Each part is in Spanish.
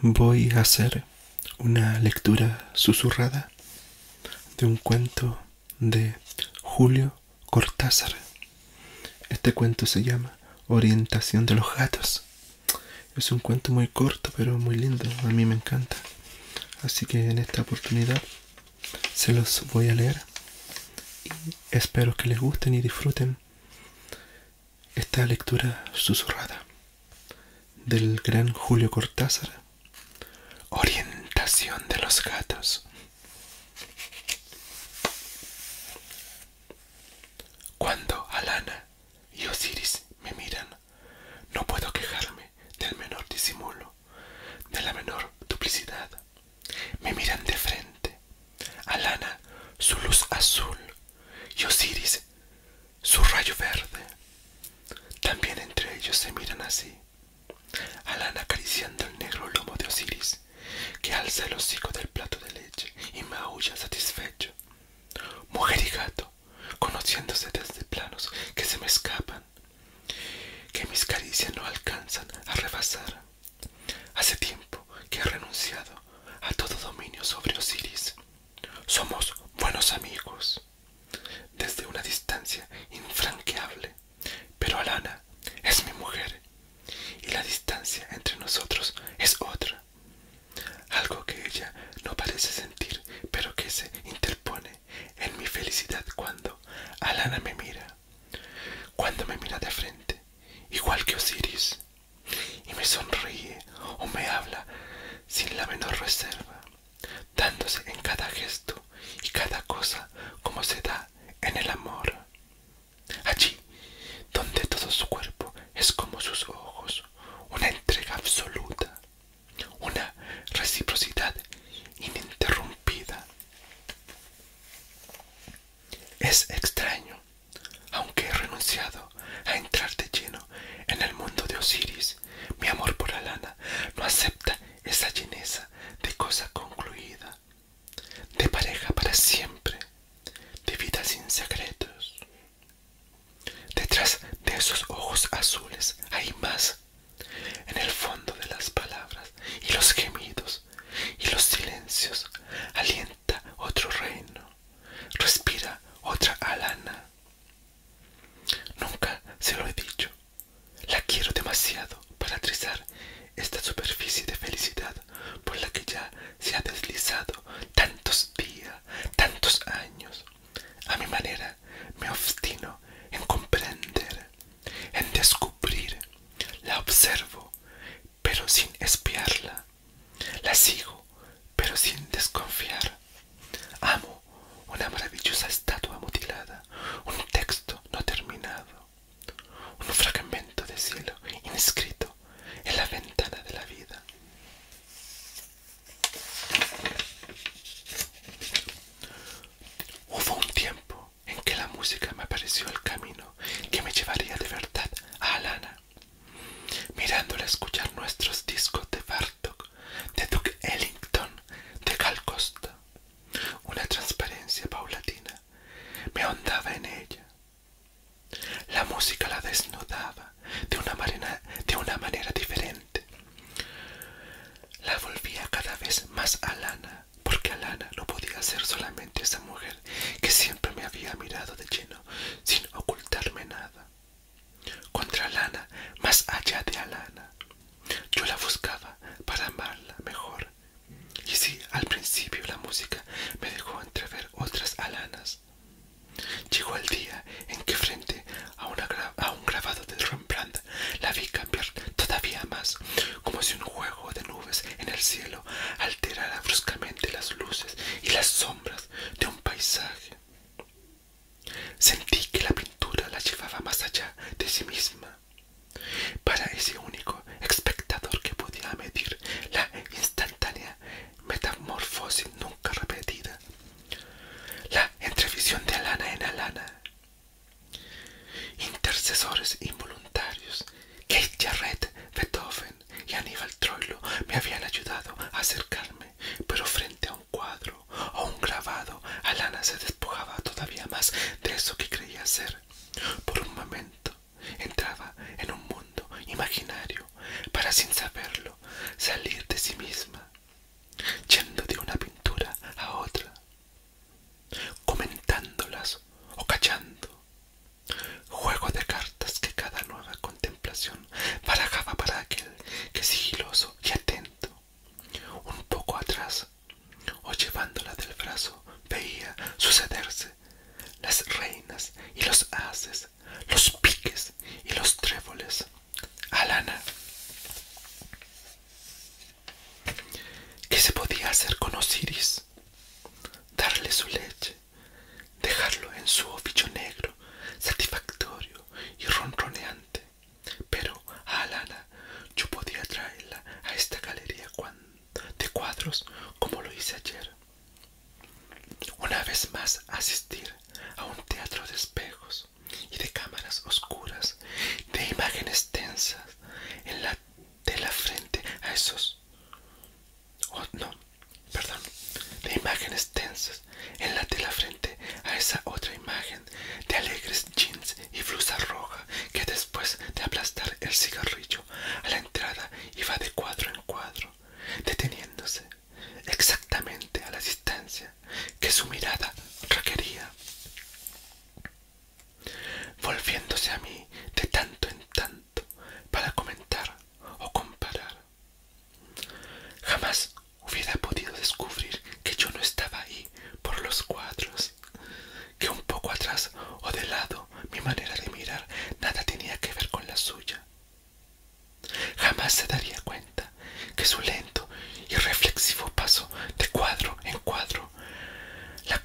Voy a hacer una lectura susurrada de un cuento de Julio Cortázar. Este cuento se llama Orientación de los gatos. Es un cuento muy corto pero muy lindo, a mí me encanta. Así que en esta oportunidad se los voy a leer y espero que les gusten y disfruten esta lectura susurrada del gran Julio Cortázar, Orientación de los gatos. Cuando Alana y Osiris me miran. No puedo quejarme del menor disimulo, de la menor duplicidad. Me miran de frente. Alana, su luz azul, y Osiris, su rayo verde. También entre ellos se miran así. Alana acariciando el negro lomo de Osiris, que alza el hocico del plato de leche y maulla satisfecho. Mujer y gato, conociéndose desde planos que se me escapan, que mis caricias no alcanzan a rebasar. Hace tiempo que he renunciado a todo dominio sobre Osiris. Somos buenos amigos, desde una distancia infranqueable, pero Alana es mi mujer y la distancia entre nosotros es otra. Algo que ella no parece sentir, pero que se interpone en mi felicidad cuando Alana me mira, cuando me mira de frente, igual que Osiris, y me sonríe o me habla sin la menor reserva, dándose en cada gesto y cada cosa como se da en el amor. Allí, donde todo su cuerpo es como sus ojos, una entrega absoluta, una reciprocidad ininterrumpida. Es extraño, aunque he renunciado a entrar de lleno en el mundo de Osiris, mi amor por Alana no acepta esa lleneza de cosa concluida de pareja para siempre, de vida sin secretos. Detrás de esos ojos azules hay más, en el fondo de las palabras y los gemidos y los silencios, alienta otro reino, respira otra alana. Nunca se lo he dicho, la quiero demasiado para trizar esta superficie de felicidad por la que ya se ha deslizado tantos días, tantos años. A mi manera me obstino en comprender, en descubrir. La observo, pero sin espiarla. La sigo, pero sin desconfiar. Amo una maravillosa estatua mutilada, un texto no terminado, un fragmento de cielo inscrito en la ventana de la vida. Hubo un tiempo en que la música me apareció el camino que me llevaría de verdad a Alana. Mirándola escuchar nuestros discos de Bartok, de Duke Ellington, de Cal Costa, una transparencia paulatina me ahondaba en ella, la música la desnudaba de una, manera, diferente. La volvía cada vez más a Lana, porque Alana no podía ser solamente esa mujer que siempre me había mirado de lleno sin ocultarme nada. Contra Alana, más allá de Alana. Yo la buscaba para amarla mejor, y si al principio la música me dejó entrever otras alanas. Llegó el día en que frente a un grabado de Rembrandt la vi cambiar todavía más, como si un juego de nubes en el cielo alterara bruscamente las luces y las sombras de un paisaje. Sentí que la pintura la llevaba más allá de sí misma, para ese único espectador que podía medir la instantánea metamorfosis nunca repetida, la entrevisión de alana en alana. Intercesores involuntarios, Kate Jarrett, Beethoven y Aníbal Troilo me habían ayudado a acercarme, pero frente a un cuadro o un grabado, Alana se despojaba todavía más de eso que creía ser. Por un momento entraba en un mundo imaginario para sin saberlo salir de sí misma, yendo de una pintura a otra, comentándolas o callando, juego de cartas que cada nueva contemplación barajaba para aquel que sigiloso y atento, un poco atrás, o llevándola del brazo veía sucederse las reinas y los haces, los piques y los tréboles. Alana. ¿Qué se podía hacer con Osiris? Darle su leche, dejarlo en su oficio negro, satisfactorio y ronroneante. Pero a Alana yo podía traerla a esta galería cuando de cuadros como lo hice ayer. Una vez más asistir a un teatro de espejos y de cámaras oscuras, de imágenes tensas en la, de frente a esos... Oh, no, perdón, de imágenes tensas en la de frente a esa otra imagen de alegres jeans y blusa roja que después de aplastar el cigarrillo a la entrada iba de cuadro en cuadro, deteniéndose exactamente a la distancia que su mirada requería. Volviéndose a mí de tanto en tanto para comentar o comparar. Jamás hubiera podido descubrir que yo no estaba ahí por los cuadros que un poco atrás o de lado mi manera de mirar nada tenía que ver con la suya. Jamás se daría cuenta que su lento y reflexivo paso de cuadro en cuadro la,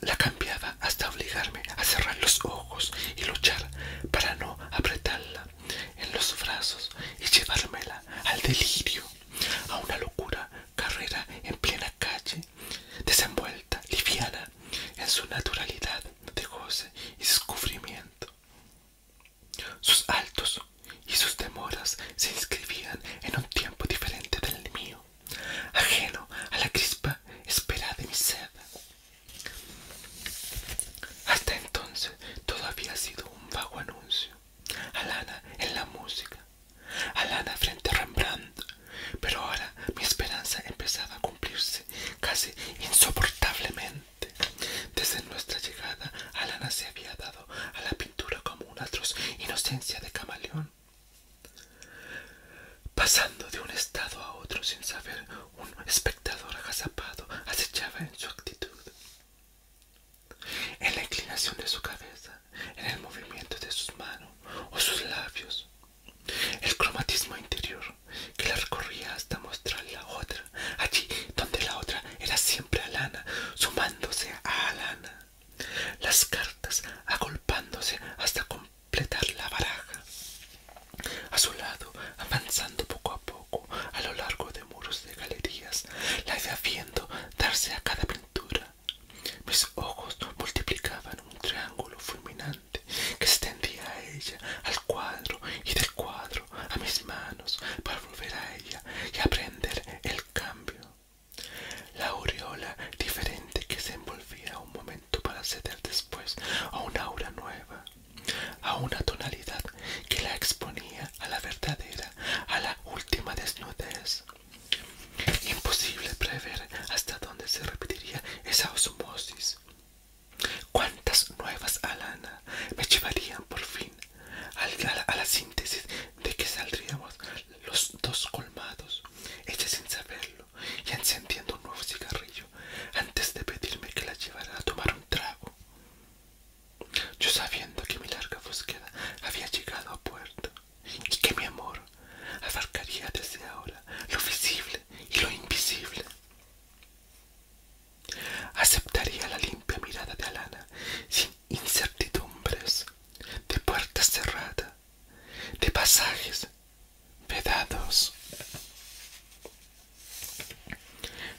la cambiaba hasta obligarme a cerrar los ojos y luchar para no apretarla en los brazos y llevármela al delirio, a una locura carrera en plena calle, desenvuelta, liviana, en su naturalidad de goce y descubrimiento. Sus altos y sus demoras se inscribían en un tiempo diferente del mío, ajeno a la crispa espera de mi sed. Hasta entonces todo había sido un vago anuncio, alana en la música, Alana frente a Rembrandt. Pero ahora mi esperanza empezaba a cumplirse casi insoportablemente. Desde nuestra llegada, Alana se había dado a la pintura como una atroz inocencia de camaleón, pasando de un estado a otro sin saber, un espectador agazapado acechaba en su actitud. En la inclinación de su cabeza, en el movimiento de sus manos o sus labios. El cromatismo interior que la recorría hasta mostrar la otra, allí donde la otra era siempre lana sumándose a lana, Las cartas agolpándose hasta completar la baraja. A su lado, avanzando poco a poco a lo largo de muros de galerías, la idea viendo darse a cada pintura, mis ojos multiplicaban un triángulo fulminante que extendía a ella, al cuadro y del cuadro a mis manos para volver a ella y aprender el cambio. La aureola diferente que se envolvía un momento para ceder después a una aura nueva, a una tonalidad que la exponía a la verdadera, a la última desnudez, Imposible prever hasta dónde se repetiría esa osmosis. ¿Cuántas nuevas alana me llevarían por fin a la, síntesis de que saldríamos los dos colmados, ella sin saberlo y encendiendo un nuevo cigarrillo antes de pedirme que la llevara a tomar un trago? Yo sabiendo que mi larga búsqueda había llegado a puerto, y que mi amor abarcaría desde ahora lo visible y lo invisible. Aceptaría la limpia mirada de Alana sin incertidumbres, de puertas cerradas, de pasajes vedados.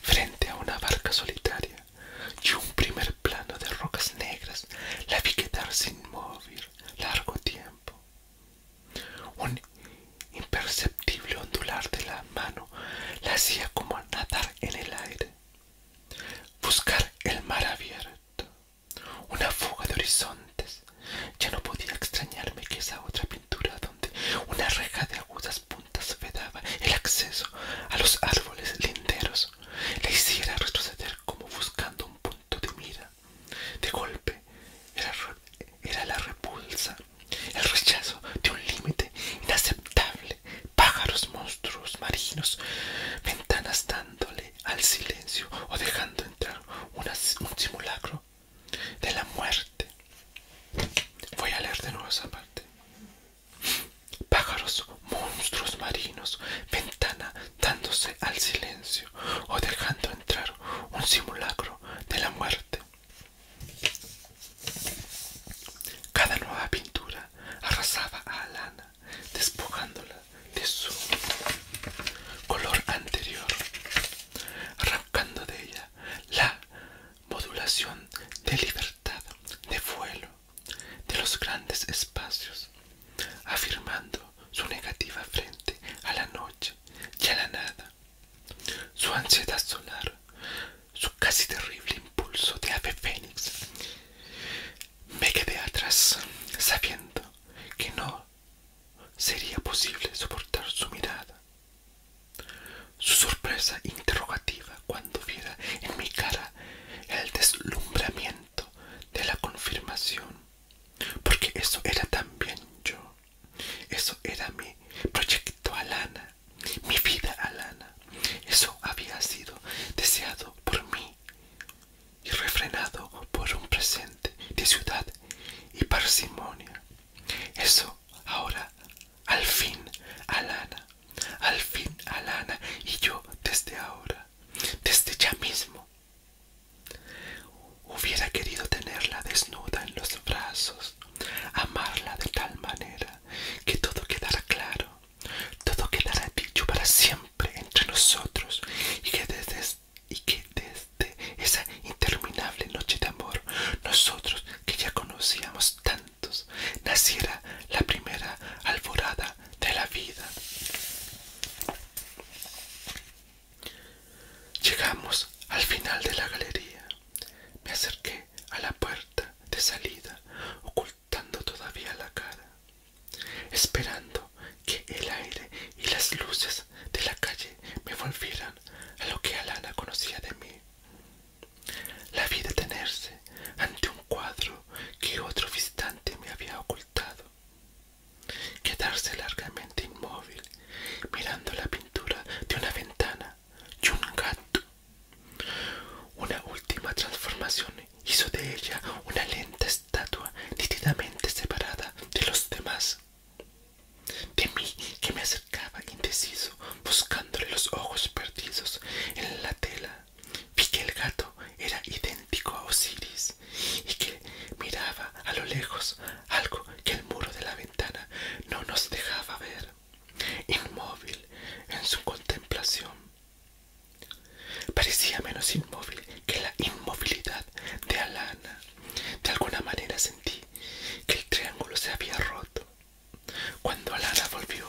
Frente a una barca solitaria, y un primer plano de rocas negras la vi sin inmóvil largo tiempo. Un imperceptible ondular de la mano la hacía como nadar en el aire. Buscar el mar abierto, una fuga de horizontes. Ya no podía extrañarme que esa otra pintura donde una reja de agudas puntas vedaba el acceso a los árboles linderos le hiciera retroceder como buscando un punto de mira. De golpe era, la repulsa, el rechazo de un límite inaceptable. Pájaros, monstruos, marinos, ventanas dándole al silencio o dejando entrar un simulacro de la muerte. Voy a leer de nuevo esa parte. Pájaros, monstruos marinos, ventana dándose al silencio o dejando entrar un simulacro de la muerte. Cada nueva pintura arrasaba a Alana, despojándola de su color anterior, arrancando de ella la modulación de libertad de vuelo de los grandes espacios, afirmando su negativa frente a la noche y a la nada, su ansiedad solar, su casi terrible impulso de ave fénix. Me quedé atrás, sabiendo que no sería posible soportar su mirada. Su sorpresa interrogativa cuando viera en mi cara el deslumbramiento de la confirmación, porque eso era también yo, eso era mi proyecto Alana, mi vida Alana, eso había sido deseado por mí y refrenado por un presente de ciudad y parsimonia, eso ahora al fin Alana al fin Alana y yo desde ahora, desde ya mismo. Hubiera querido tenerla desnuda en los brazos, amarla de tal manera que todo quedara claro, todo quedara dicho para siempre entre nosotros y que desde, y que desde esa interminable noche de amor nosotros que ya conocíamos tan naciera la primera alborada de la vida. Llegamos al final de la galería. Me acerqué a la puerta de salida, ocultando todavía la cara, esperando que el aire y las luces de la calle me volvieran a lo que Alana conocía de mí. La vi detenerse ante un cuadro que otro visitante me había ocultado. Quedarse largamente inmóvil, mirando la pintura de una ventana y un gato. Una última transformación hizo de ella una lenta estatua nítidamente separada de los demás. De mí que me acercaba indeciso, buscándole los ojos perdidos en la tela vi que el gato era idéntico a Osiris y que miraba a lo lejos algo que el muro de la ventana no nos dejaba ver, inmóvil en su contemplación. Parecía menos inmóvil que la inmovilidad de Alana. De alguna manera sentí que el triángulo se había roto cuando Alana volvió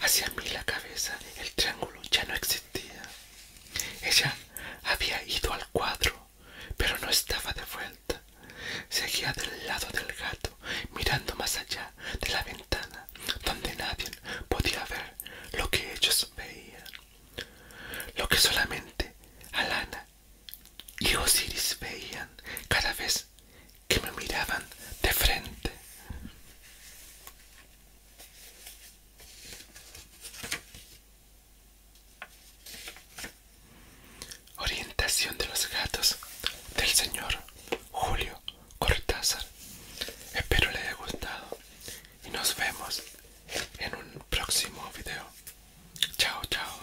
hacia mí la cabeza, el triángulo ya no existía. Ella había ido al cuadro, pero no estaba de vuelta. Seguía del lado del gato, mirando más allá de la ventana, donde nadie podía ver lo que ellos veían. Lo que solamente Alana y Osiris veían cada vez que me miraban de frente. Orientación de los gatos del señor Julio Cortázar. Espero les haya gustado y nos vemos en un próximo video. Chao, chao.